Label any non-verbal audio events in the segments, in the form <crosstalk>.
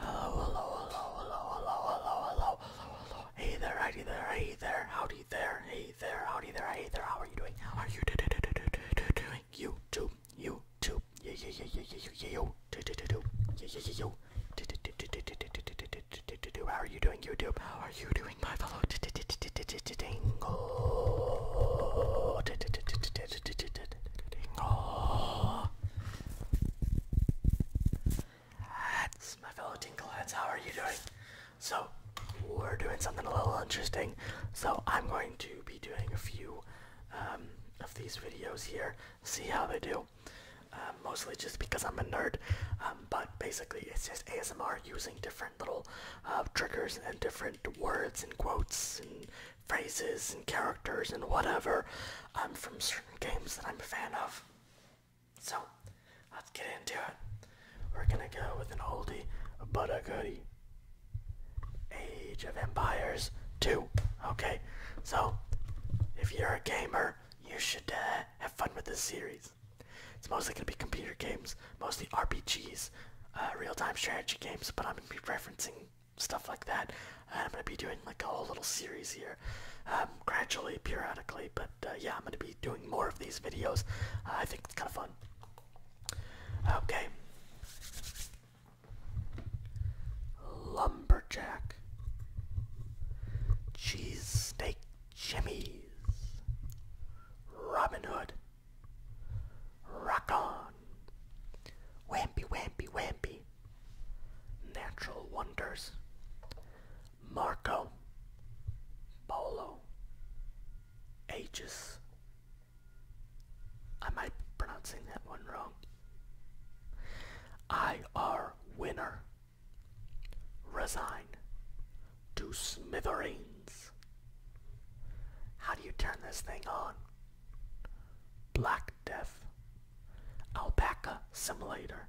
Hello, hello, hello, hello, hello, hello, hello, hello, hello. Hey there, howdy there, hey there, howdy there, hey there, howdy there, hey there. How are you doing? How are you doing? You too, you too, yeah, yeah, yeah, yeah, yeah, yeah, you, do, do, do, do, yeah, yeah, yeah, you, do, do, do, do, do, do, do, do, do, do, do, do. How are you doing, YouTube? How are you doing, my fellow? Dingle. Dingle. That's my fellow Tinkleheads. How are you doing? So, we're doing something a little interesting. So, I'm going to be doing a few um, of these videos here, see how they do. Um, mostly just because I'm a nerd, um, but basically it's just ASMR using different little uh, triggers and different words and quotes and phrases and characters and whatever um, from games that I'm a fan of. So, let's get into it. We're gonna go with an oldie but a goodie. Age of Empires 2. Okay, so if you're a gamer, you should uh, have fun with this series. It's mostly gonna be computer games, mostly RPGs, uh, real-time strategy games, but I'm gonna be referencing stuff like that. I'm gonna be doing like a whole little series here, um, gradually, periodically. But uh, yeah, I'm gonna be doing more of these videos. Uh, I think it's kind of fun. Okay. Lumberjack. Cheesesteak Jimmy's. Robin Hood. Rock on. Wampy, wampy, wampy. Natural Wonders, Marco Polo, Aegis. I might be pronouncing that one wrong. IR Winner, Resign to Smithereens. How do you turn this thing on? Black Death, Alpaca Simulator,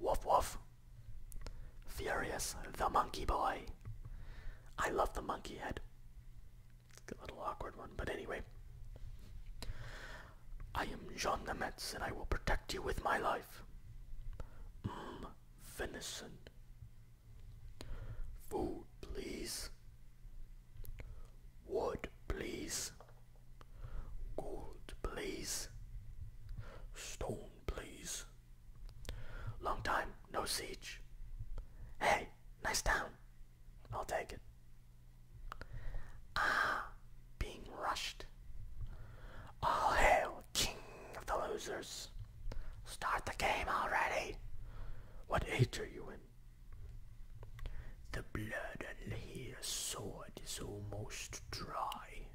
Woof Woof, Furious the Monkey Boy. I love the monkey head. It's a little awkward one, but anyway. I am Jean the Metz and I will protect you with my life. Mmm, venison. Food, please. Wood, please. Gold, please. Stone, please. Long time, no siege. Hey, nice town. I'll take it. Ah, being rushed. All hail, king of the losers. Start the game already. What age are you in? The blood on his sword is almost dry.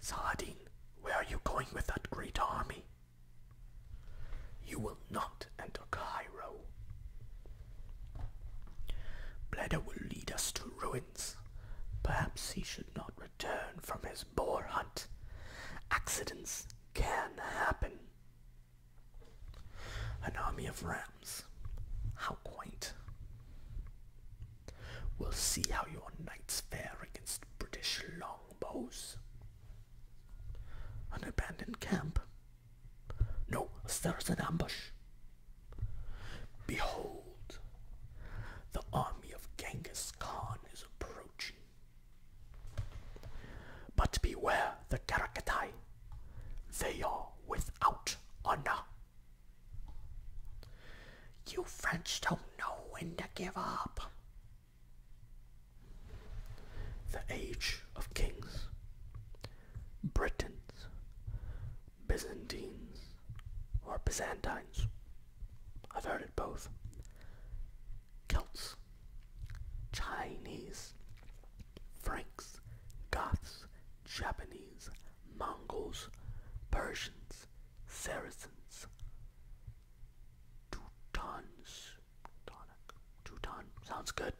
Saladin, where are you going with that great army? You will not enter Cairo. Bleda will lead us to ruins. Perhaps he should not return from his boar hunt. Accidents can happen. An army of rams. How quaint. We'll see how your knights fare against British longbows. An abandoned camp. No, there's an ambush. Behold, the army of Genghis Khan is approaching. But beware the Karakatai, they are without honor. You French don't know when to give up. The Age of Kings, Britons, Byzantines, or Byzantines, I've heard it both, Celts, Chinese, Franks, Goths, Japanese, Mongols, Persians, Saracens, Teutons, Teuton, sounds good.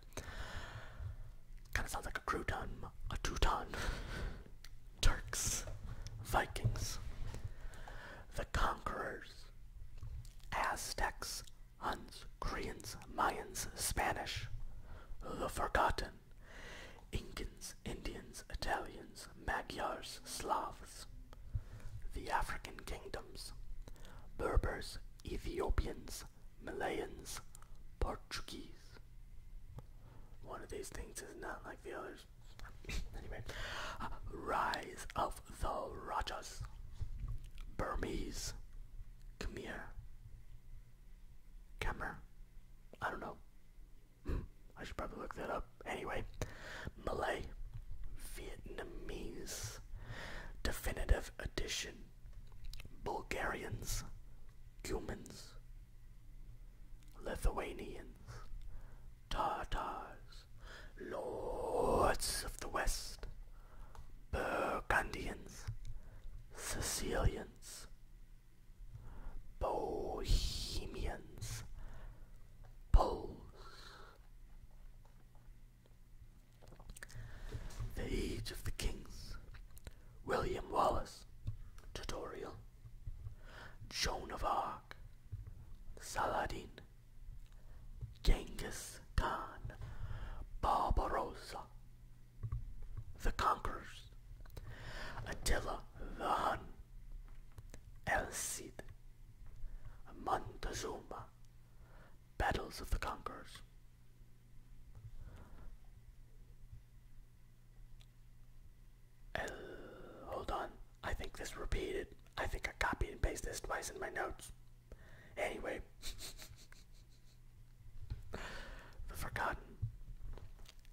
Kind of sounds like a crouton, a Teuton. Turks, Vikings, the conquerors, Aztecs, Huns, Koreans, Mayans, Spanish, the Forgotten, Incans, Indians, Italians, Magyars, Slavs, the African kingdoms, Berbers, Ethiopians, Malayans, Portuguese. One of these things is not like the others. <coughs> anyway, uh, Rise of the Rajas, Burmese, Come here. I don't know. <laughs> I should probably look that up. Anyway, Malay, Vietnamese, Definitive Edition, Bulgarians, Cumans, Lithuanians, Tartars, Lords of the West, Burgundians, Sicilians, Bohemians, Poles. The Age of the Kings, William Wallace, tutorial, Joan of Arc, Saladin, Genghis Khan, Barbarossa, the Conquerors, Attila the Hun, El Cid, Montezuma, Battles of the Conquerors. El, hold on, I think this repeated. I think I copied and pasted this twice in my notes. Anyway. <laughs> The Forgotten,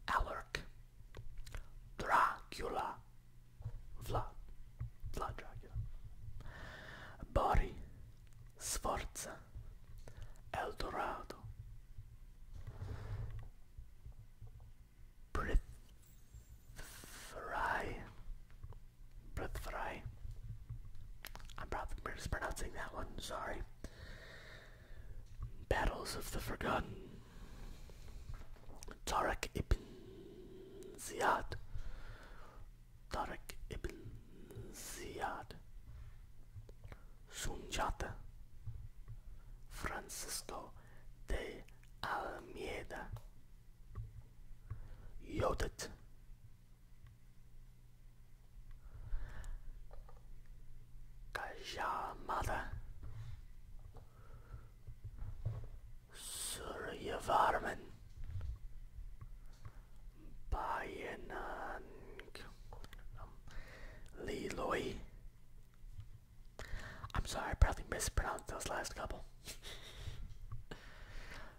Alaric, Dracula, Vlad, Vlad Dracula, Bari, Sforza, El Dorado, Prithvrai, Prithviraj. I'm probably mispronouncing that one, sorry. Battles of the Forgotten. Tarek ibn Ziyad. Tarek ibn Ziyad. Sunjata. Francisco de Almeida. Yodet Gaja Mother Surya Varman Liloy I'm sorry I probably mispronounced those last couple <laughs>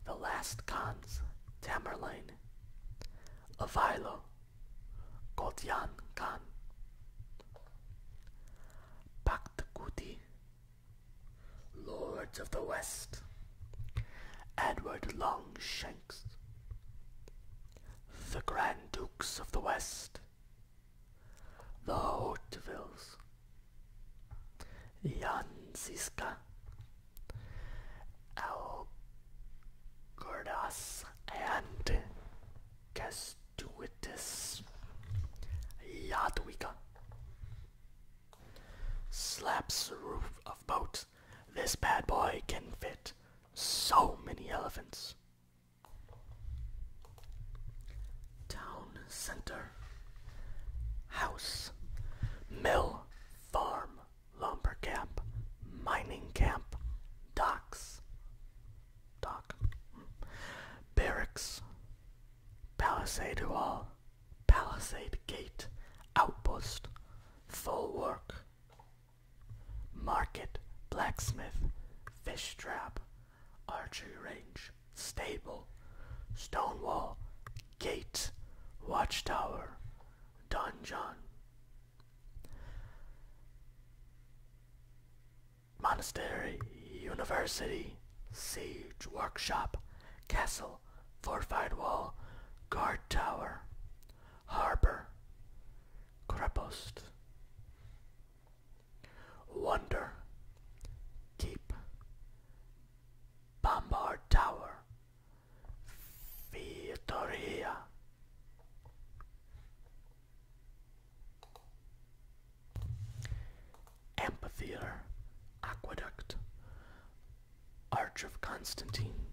The last Khans, Tamerlane, Avilo, Gotyan Khan, Pakhtkuti, Lords of the West, Edward Longshanks, the Grand Dukes of the West, the Hautevils, Jan Ziska, Algordas and Castuitis Yadwiga slaps roof of boat. This bad boy can fit so many elephants. Town center, house, mill, farm, lumber camp, mining camp, docks, dock, barracks, palisade wall, palisade gate, outpost, full work, market, blacksmith, fish trap, archery range, stable, stone wall, gate, watchtower, Donjon. Monastery, University, Siege Workshop, Castle, Fortified Wall, Guard Tower, Harbor, Crepost, Wonder, Keep, Bombard Tower, Victoria, Amphitheater, Aqueduct, Arch of Constantine,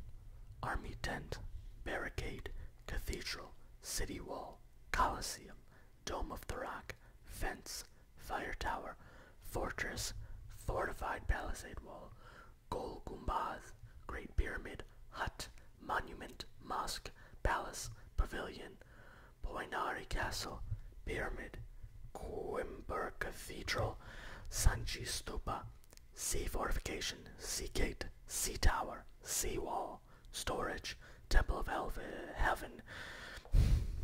Army Tent, Barricade, Cathedral, City Wall, Colosseum, Dome of the Rock, Fence, Fire Tower, Fortress, Fortified Palisade Wall, Gol Gumbaz, Great Pyramid, Hut, Monument, Mosque, Palace, Pavilion, Poynari Castle, Pyramid, Coimbra Cathedral, Sanchi Stupa, Sea Fortification, Sea Gate, Sea Tower, Sea Wall, Storage, Temple of uh, Heaven,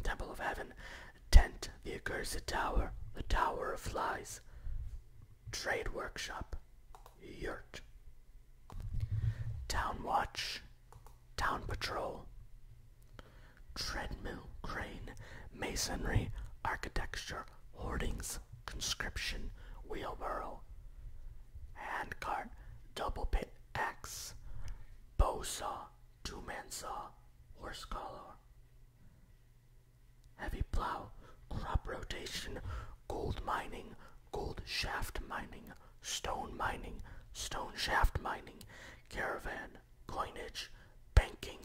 Temple of Heaven, Tent, the Accursed Tower, the Tower of Flies, Trade Workshop, Yurt. Town Watch, Town Patrol. Treadmill, Crane, Masonry, Architecture, Hoardings, Conscription, Wheelbarrow. Handcart, Double Pit, Axe. Bow Saw, Two Man Saw, Horse Collar. Heavy plow, crop rotation, gold mining, gold shaft mining, stone mining, stone shaft mining, caravan, coinage, banking,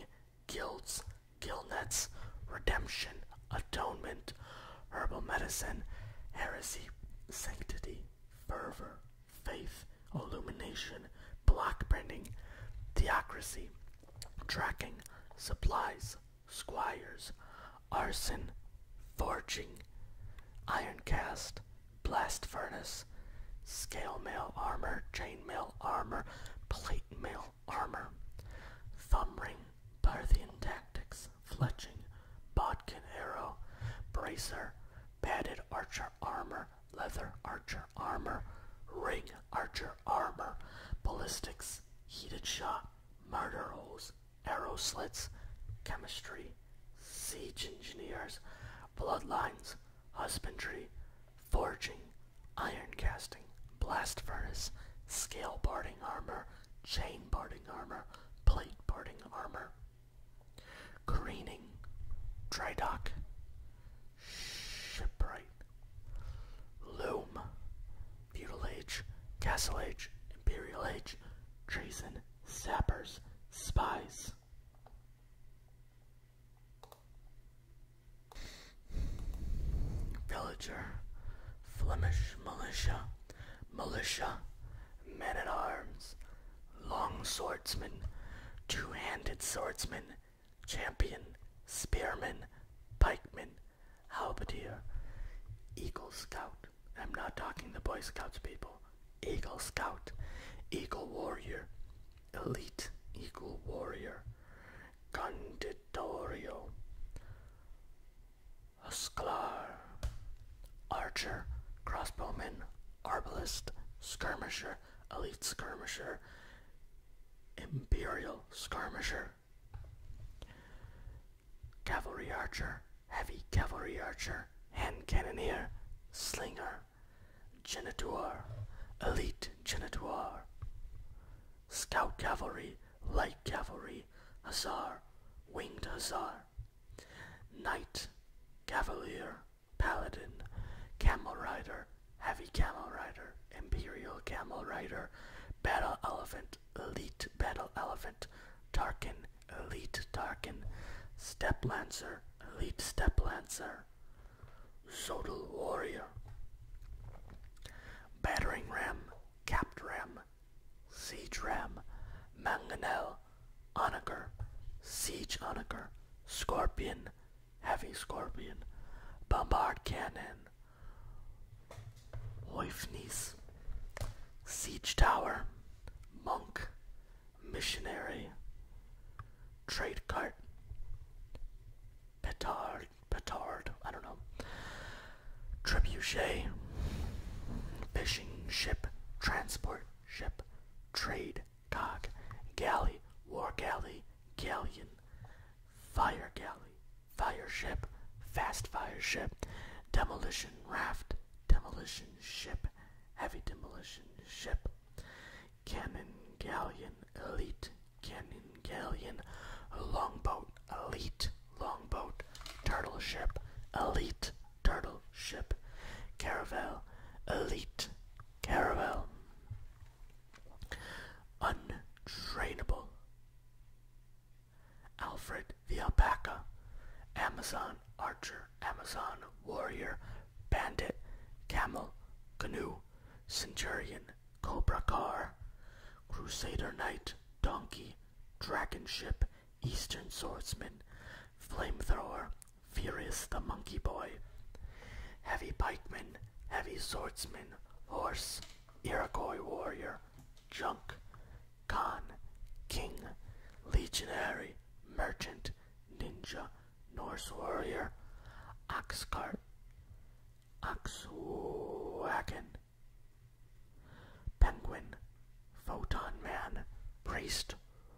guilds, gillnets, redemption, atonement, herbal medicine, heresy, sanctity, fervor, faith, illumination, block branding, theocracy, tracking, supplies, squires, arson, forging, iron cast, blast furnace, scale mail armor, chain mail armor, plate mail armor, thumb ring, Parthian tactics, fletching, bodkin arrow, bracer, padded archer armor, leather archer armor, ring, archer armor, ballistics, heated shot, murder holes, arrow slits, chemistry, siege engineers, bloodlines, husbandry, forging, iron casting, blast furnace, scale parting armor, chain parting armor, plate parting armor, careening, dry dock, Shipwright, Loom, Feudal Age, Castle Age, Imperial Age, Treason, Sappers, Spies. Villager, Flemish Militia, Militia, Men at Arms, Long Swordsman, Two Handed Swordsman, champion, spearman, pikeman, halberdier, eagle scout. I'm not talking the Boy Scouts people. Eagle scout, eagle warrior, elite eagle warrior, conditorio, Sklar, archer, crossbowman, arbalist, skirmisher, elite skirmisher, imperial skirmisher, cavalry archer, heavy cavalry archer, hand cannoneer, slinger, genitoire, elite genitoire, scout cavalry, light cavalry, hussar, winged hussar, knight, cavalier, paladin, camel rider, Heavy Camel Rider, Imperial Camel Rider, Battle Elephant, Elite Battle Elephant, Tarkin, Elite Tarkin, Step Lancer, Elite Step Lancer, Zodal Warrior, Battering Ram, Capped Ram, Siege Ram, Mangonel, Onager, Siege Onager, Scorpion, Heavy Scorpion, Bombard Cannon, Oifnis, Siege Tower, Monk, Missionary, Trade Cart, Petard, Petard, I don't know, Trebuchet, Fishing Ship, Transport Ship, Trade Cog, Galley, War Galley, Galleon, fire galley, fire ship, fast fire ship, demolition raft, demolition ship, heavy demolition ship, cannon galleon, elite, cannon galleon, longboat, elite, longboat, turtle ship, elite, turtle ship, caravel, elite, caravel. Untrainable. Alfred the Alpaca, Amazon Archer, Amazon Warrior, Bandit, Camel, Canoe, Centurion, Cobra Car, Crusader Knight, Donkey, Dragon Ship, Eastern Swordsman, Flame Thrower, Furious the Monkey Boy, Heavy Pikeman, Heavy Swordsman, Horse, Iroquois warrior, junk, con, king, legionary, merchant, ninja, Norse warrior, ox cart, ox wagon, penguin, photon man, priest,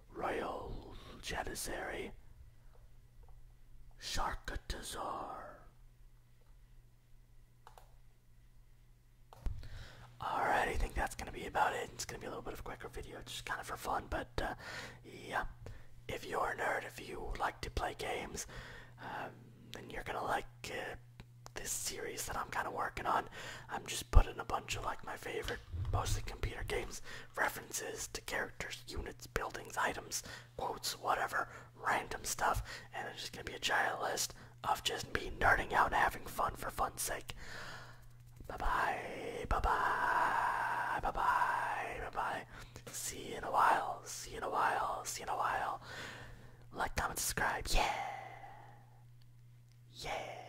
royal janissary, sharkatosaur. Alright, I think that's going to be about it. It's going to be a little bit of a quicker video, just kind of for fun, but uh, yeah. If you're a nerd, if you like to play games, um, then you're going to like uh, this series that I'm kind of working on. I'm just putting a bunch of like my favorite, mostly computer games, references to characters, units, buildings, items, quotes, whatever, random stuff, and it's just gonna be a giant list of just me nerding out and having fun for fun's sake. Bye bye, bye bye, bye bye, bye bye. See you in a while, see you in a while, see you in a while. Like, comment, subscribe, yeah! Yeah!